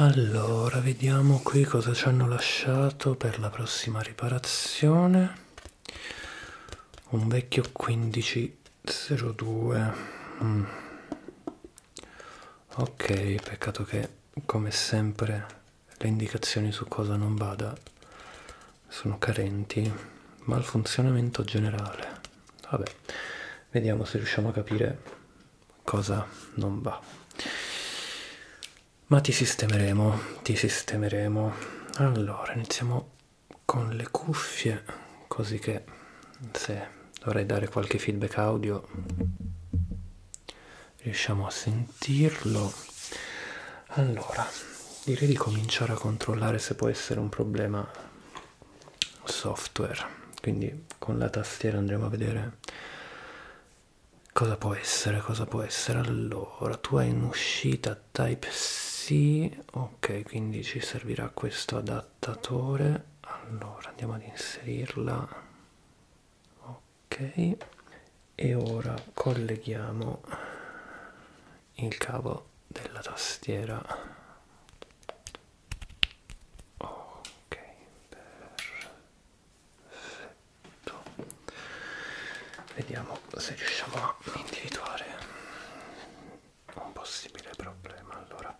Allora, vediamo qui cosa ci hanno lasciato per la prossima riparazione. Un vecchio 1502. Mm. Ok, peccato che come sempre le indicazioni su cosa non vada sono carenti, ma il funzionamento generale. Vabbè, vediamo se riusciamo a capire cosa non va ma ti sistemeremo ti sistemeremo allora iniziamo con le cuffie così che se dovrei dare qualche feedback audio riusciamo a sentirlo allora direi di cominciare a controllare se può essere un problema software quindi con la tastiera andremo a vedere cosa può essere cosa può essere allora tu hai un'uscita type c ok quindi ci servirà questo adattatore allora andiamo ad inserirla ok e ora colleghiamo il cavo della tastiera ok perfetto vediamo se riusciamo a individuare un possibile problema allora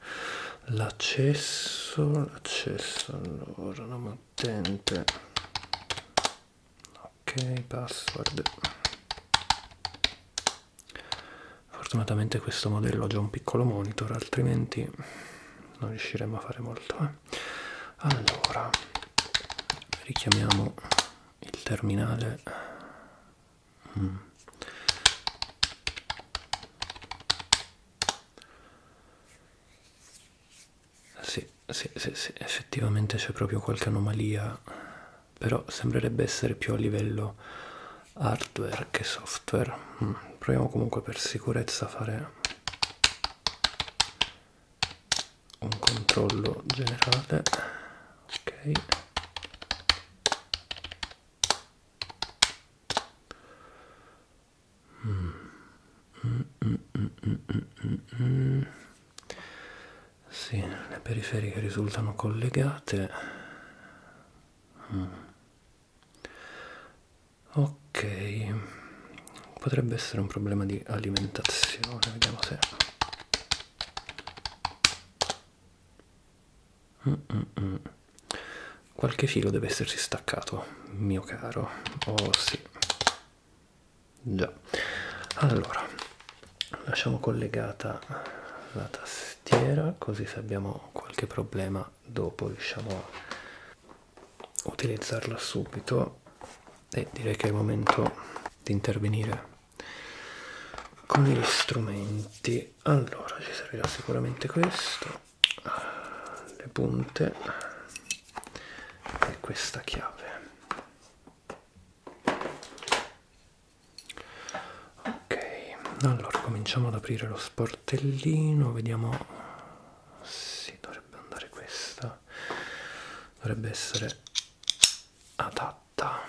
l'accesso l'accesso allora non utente ok password fortunatamente questo modello ha già un piccolo monitor altrimenti non riusciremo a fare molto eh. allora richiamiamo il terminale mm. Sì, sì, sì, sì, effettivamente c'è proprio qualche anomalia, però sembrerebbe essere più a livello hardware che software mm. proviamo comunque per sicurezza a fare un controllo generale ok mm. Mm, mm, mm, mm, mm, mm. mm. Sì, le periferiche risultano collegate. Mm ok potrebbe essere un problema di alimentazione vediamo se mm, mm -mm. qualche filo deve essersi staccato mio caro oh sì già allora lasciamo collegata la tastiera così se abbiamo qualche problema ma dopo riusciamo a utilizzarla subito e direi che è il momento di intervenire con gli strumenti allora ci servirà sicuramente questo le punte e questa chiave ok allora cominciamo ad aprire lo sportellino vediamo si sì, dovrebbe andare questa dovrebbe essere adatta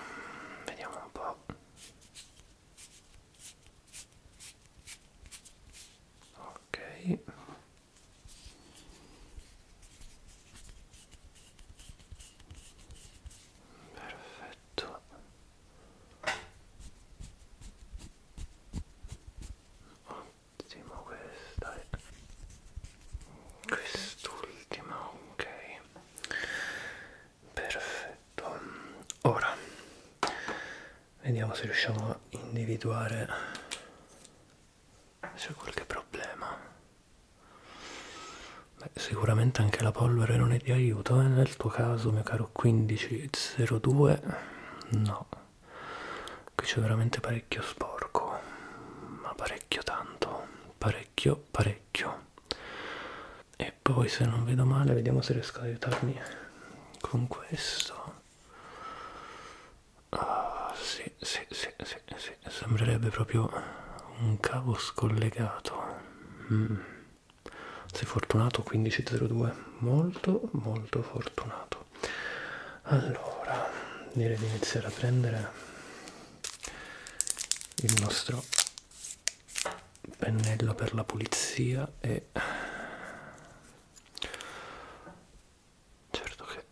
vediamo un po ok perfetto ottimo questa è eh. quest'ultima ok perfetto ora vediamo se riusciamo a individuare se c'è qualche problema Beh, sicuramente anche la polvere non è di aiuto eh, nel tuo caso mio caro 1502 no qui c'è veramente parecchio sporco ma parecchio tanto parecchio parecchio e poi se non vedo male vediamo se riesco ad aiutarmi con questo ah sì sì sì sì, sì. sembrerebbe proprio un cavo scollegato mm. Sei fortunato 1502, molto molto fortunato. Allora, direi di iniziare a prendere il nostro pennello per la pulizia e certo che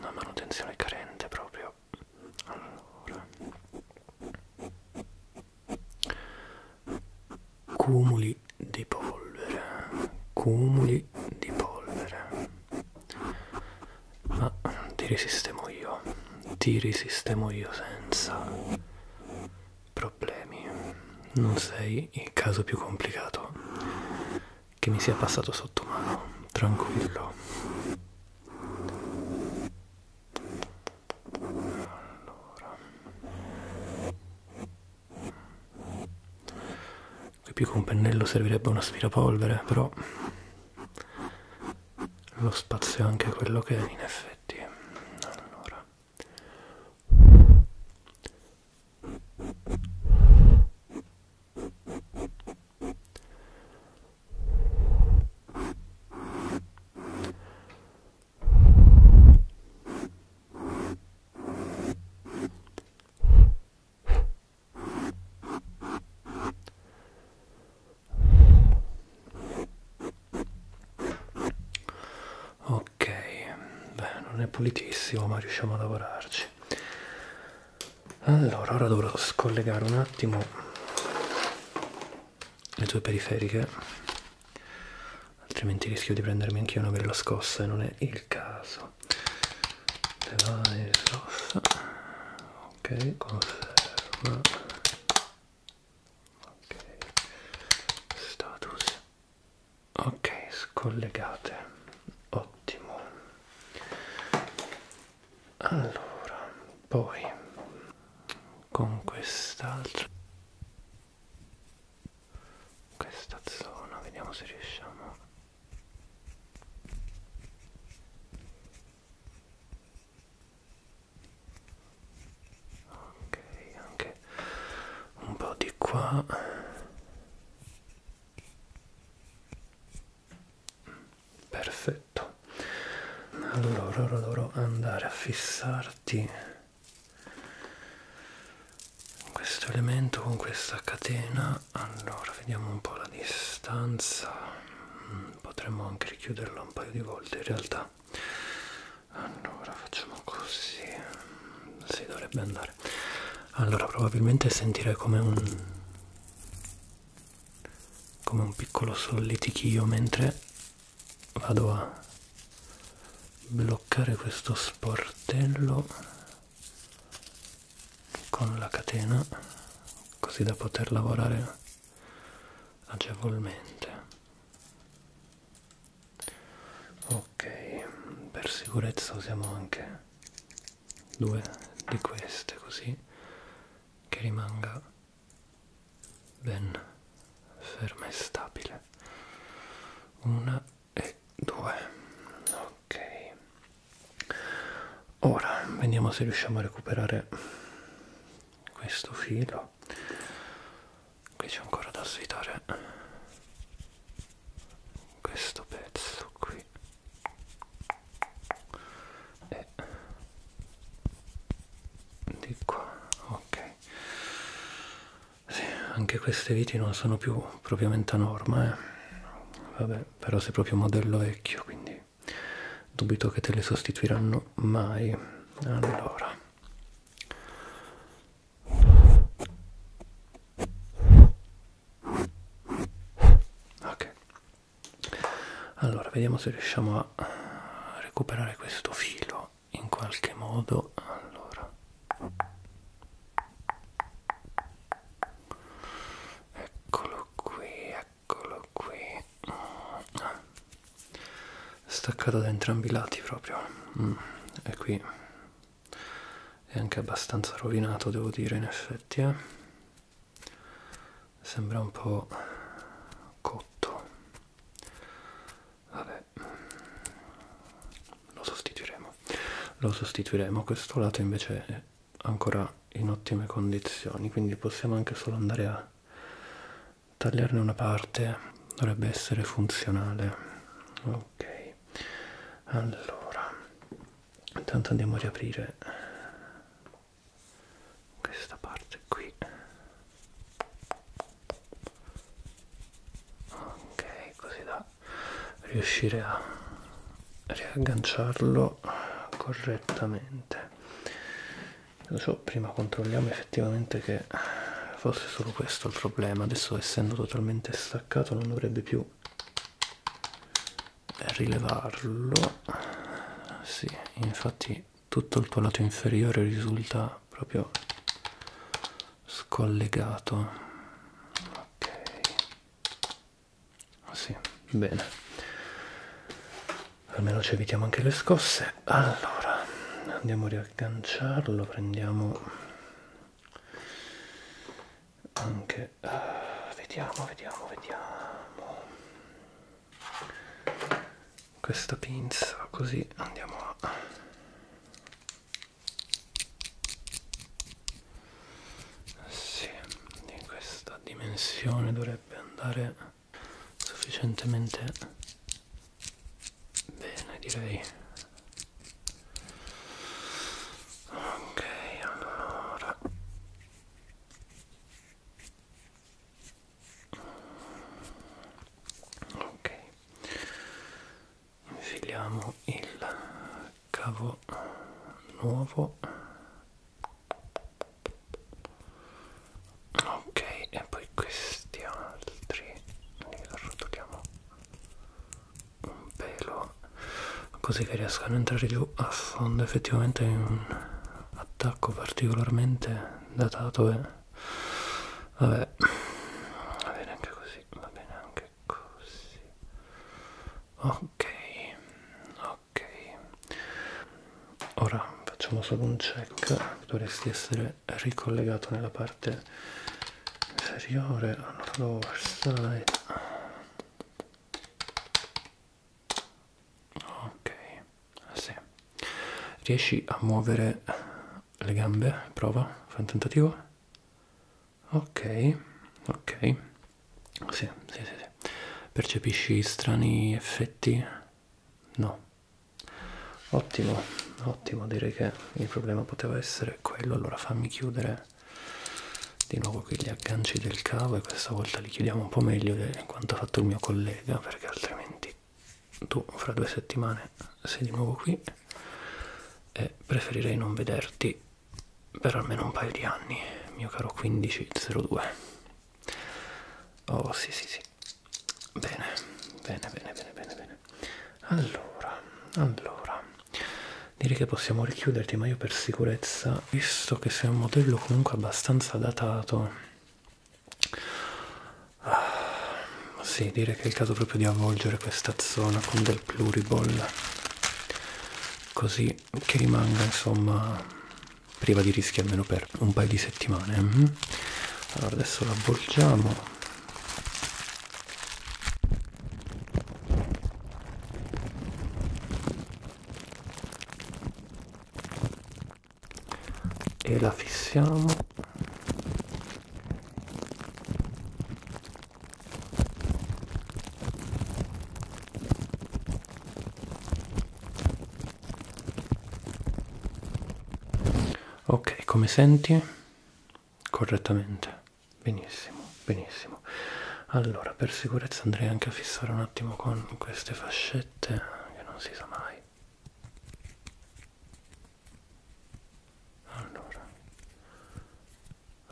la manutenzione è carente proprio allora cumuli di polvere, cumuli di polvere. Ma ti risistemo io, ti risistemo io senza problemi. Non sei il caso più complicato che mi sia passato sotto mano, tranquillo allora qui più che un pennello servirebbe un aspirapolvere però lo spazio è anche quello che è in effetti allora Ok, beh, non è pulitissimo, ma riusciamo a lavorarci. Allora, ora dovrò scollegare un attimo le tue periferiche altrimenti rischio di prendermi anche una bella scossa e non è il caso te vai scossa ok conferma ok status ok scollegate ottimo allora poi con quest'altro questa zona vediamo se riusciamo ok anche un po' di qua perfetto allora ora dovrò andare a fissarti questo elemento con questa catena allora vediamo un po' la distanza mm, potremmo anche richiuderla un paio di volte in realtà allora facciamo così mm, si dovrebbe andare allora probabilmente sentirei come un come un piccolo solletichio mentre vado a bloccare questo sportello con la catena così da poter lavorare agevolmente ok per sicurezza usiamo anche due di queste così che rimanga ben ferma e stabile una e due ok ora vediamo se riusciamo a recuperare questo filo qui c'è ancora da svitare questo pezzo qui e di qua ok sì, anche queste viti non sono più propriamente a norma, eh. Vabbè, però sei proprio modello vecchio, quindi dubito che te le sostituiranno mai. Allora. Ok. Allora, vediamo se riusciamo a recuperare questo filo in qualche modo allora eccolo qui eccolo qui ah. staccato da entrambi i lati proprio mm. e qui è anche abbastanza rovinato devo dire in effetti eh? sembra un po' cotto Vabbè, lo sostituiremo. Lo sostituiremo. Questo lato invece è ancora in ottime condizioni, quindi possiamo anche solo andare a tagliarne una parte. Dovrebbe essere funzionale. Ok. Allora, intanto andiamo a riaprire questa parte qui ok così da riuscire a riagganciarlo correttamente adesso prima controlliamo effettivamente che fosse solo questo il problema adesso essendo totalmente staccato non dovrebbe più rilevarlo sì infatti tutto il tuo lato inferiore risulta proprio scollegato ok ah, sì bene almeno ci evitiamo anche le scosse allora andiamo a riagganciarlo prendiamo anche uh, vediamo vediamo vediamo questa pinza così andiamo a sì, in questa dimensione dovrebbe andare sufficientemente bene direi ok allora ok infiliamo il cavo nuovo ok e poi questi altri li arrotoliamo un pelo così che riescano a entrare più a fondo effettivamente in un attacco particolarmente datato e Vabbè, va bene anche così, va bene anche così. Ok, ok. Ora facciamo solo un check, dovresti essere ricollegato nella parte inferiore al lower side. Ok, Ah, sì. Riesci a muovere le gambe? Prova, fai un tentativo. Ok, ok. Sì, sì, sì, sì. Percepisci strani effetti? No. Ottimo, ottimo, direi che il problema poteva essere quello. Allora fammi chiudere di nuovo qui gli agganci del cavo e questa volta li chiudiamo un po' meglio di quanto ha fatto il mio collega perché altrimenti tu fra due settimane sei di nuovo qui e preferirei non vederti per almeno un paio di anni, mio caro 1502. Oh sì sì sì. Bene, bene, bene, bene, bene, bene. Allora, allora, direi che possiamo richiuderti, ma io per sicurezza, visto che sei un modello comunque abbastanza datato, Ah, sì, direi che è il caso proprio di avvolgere questa zona con del pluriball così che rimanga insomma priva di rischi almeno per un paio di settimane mm? allora adesso l'avvolgiamo e la fissiamo ok come senti correttamente benissimo benissimo allora per sicurezza andrei anche a fissare un attimo con queste fascette che non si sa mai allora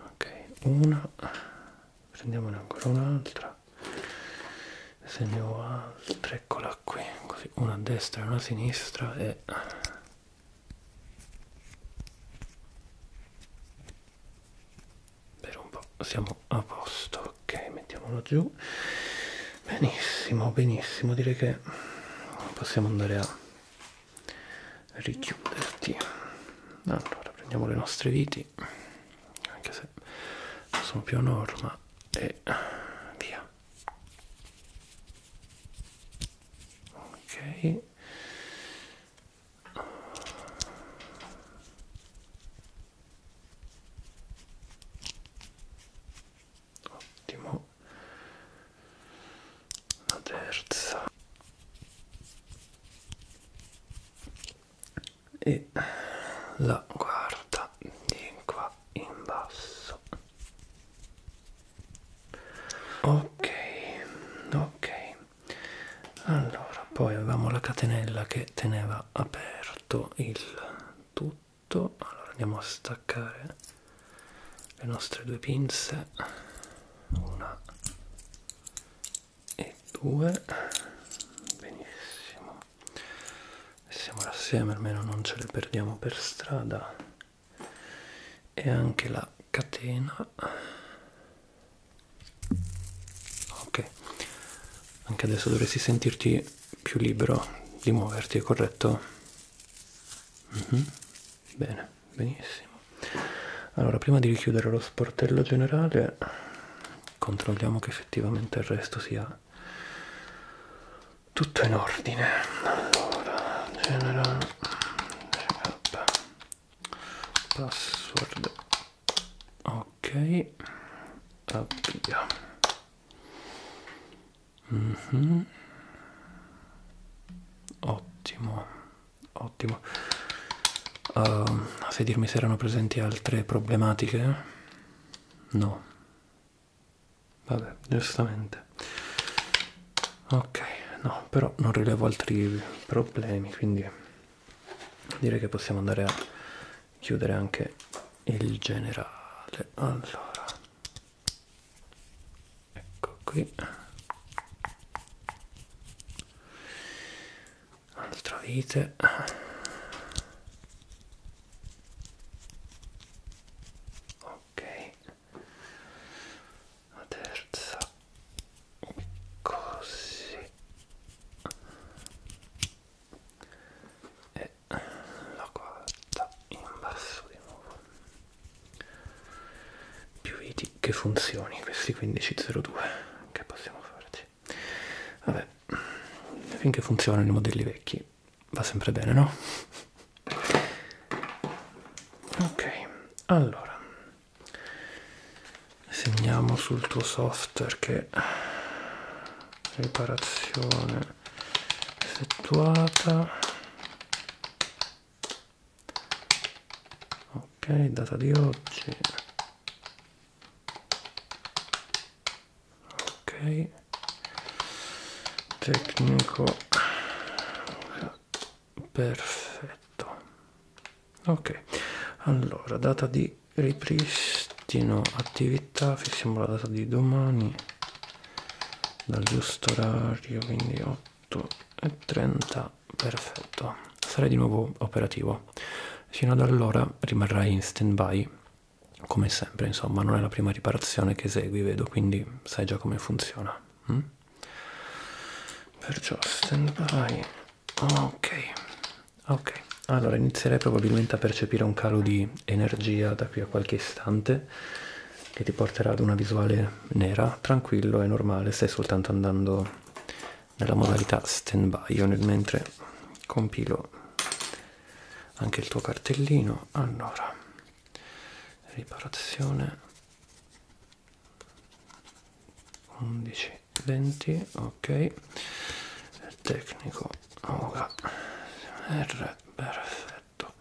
ok una prendiamone ancora un'altra se ne ho altre eccola qui così una a destra e una a sinistra e per un po' siamo a posto ok mettiamolo giù benissimo benissimo direi che possiamo andare a richiuderti allora prendiamo le nostre viti anche se non sono più a norma e via ok ottimo una terza e la quarta di qua in basso ok ok allora poi avevamo la catenella che teneva aperto il tutto allora andiamo a staccare le nostre due pinze una e due benissimo siamo assieme almeno non ce le perdiamo per strada e anche la catena ok anche adesso dovresti sentirti più libero di muoverti, corretto? Mm -hmm. Bene, benissimo. Allora, prima di richiudere lo sportello generale, controlliamo che effettivamente il resto sia tutto in ordine. Allora, general, password ok avvia mm -hmm. ottimo ottimo uh, sai dirmi se erano presenti altre problematiche no vabbè giustamente ok no però non rilevo altri problemi quindi direi che possiamo andare a chiudere anche il generale allora ecco qui altra vite ok la terza così e la quarta in basso di nuovo più i tick che funzioni questi 1502 che possiamo farci vabbè finché funzionano i modelli vecchi va sempre bene no ok allora segniamo sul tuo software software che riparazione effettuata ok data di oggi ok tecnico perfetto ok allora data di ripristino attività fissiamo la data di domani dal giusto orario quindi 8 e 30 perfetto sarai di nuovo operativo fino ad allora rimarrai in stand by come sempre insomma non è la prima riparazione che esegui vedo quindi sai già come funziona hm? perciò stand by Ok, ok. Allora inizierei probabilmente a percepire un calo di energia da qui a qualche istante che ti porterà ad una visuale nera. Tranquillo, è normale, stai soltanto andando nella modalità stand-by. Io nel mentre compilo anche il tuo cartellino. Allora, riparazione. 11 20 ok tecnico ora R perfetto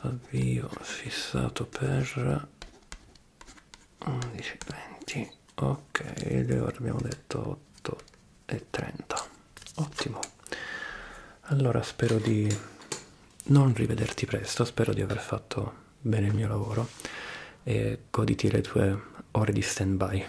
avvio fissato per 11 20 ok e ora abbiamo detto 8 e 30 ottimo allora spero di non rivederti presto spero di aver fatto bene il mio lavoro e goditi le tue ore di stand by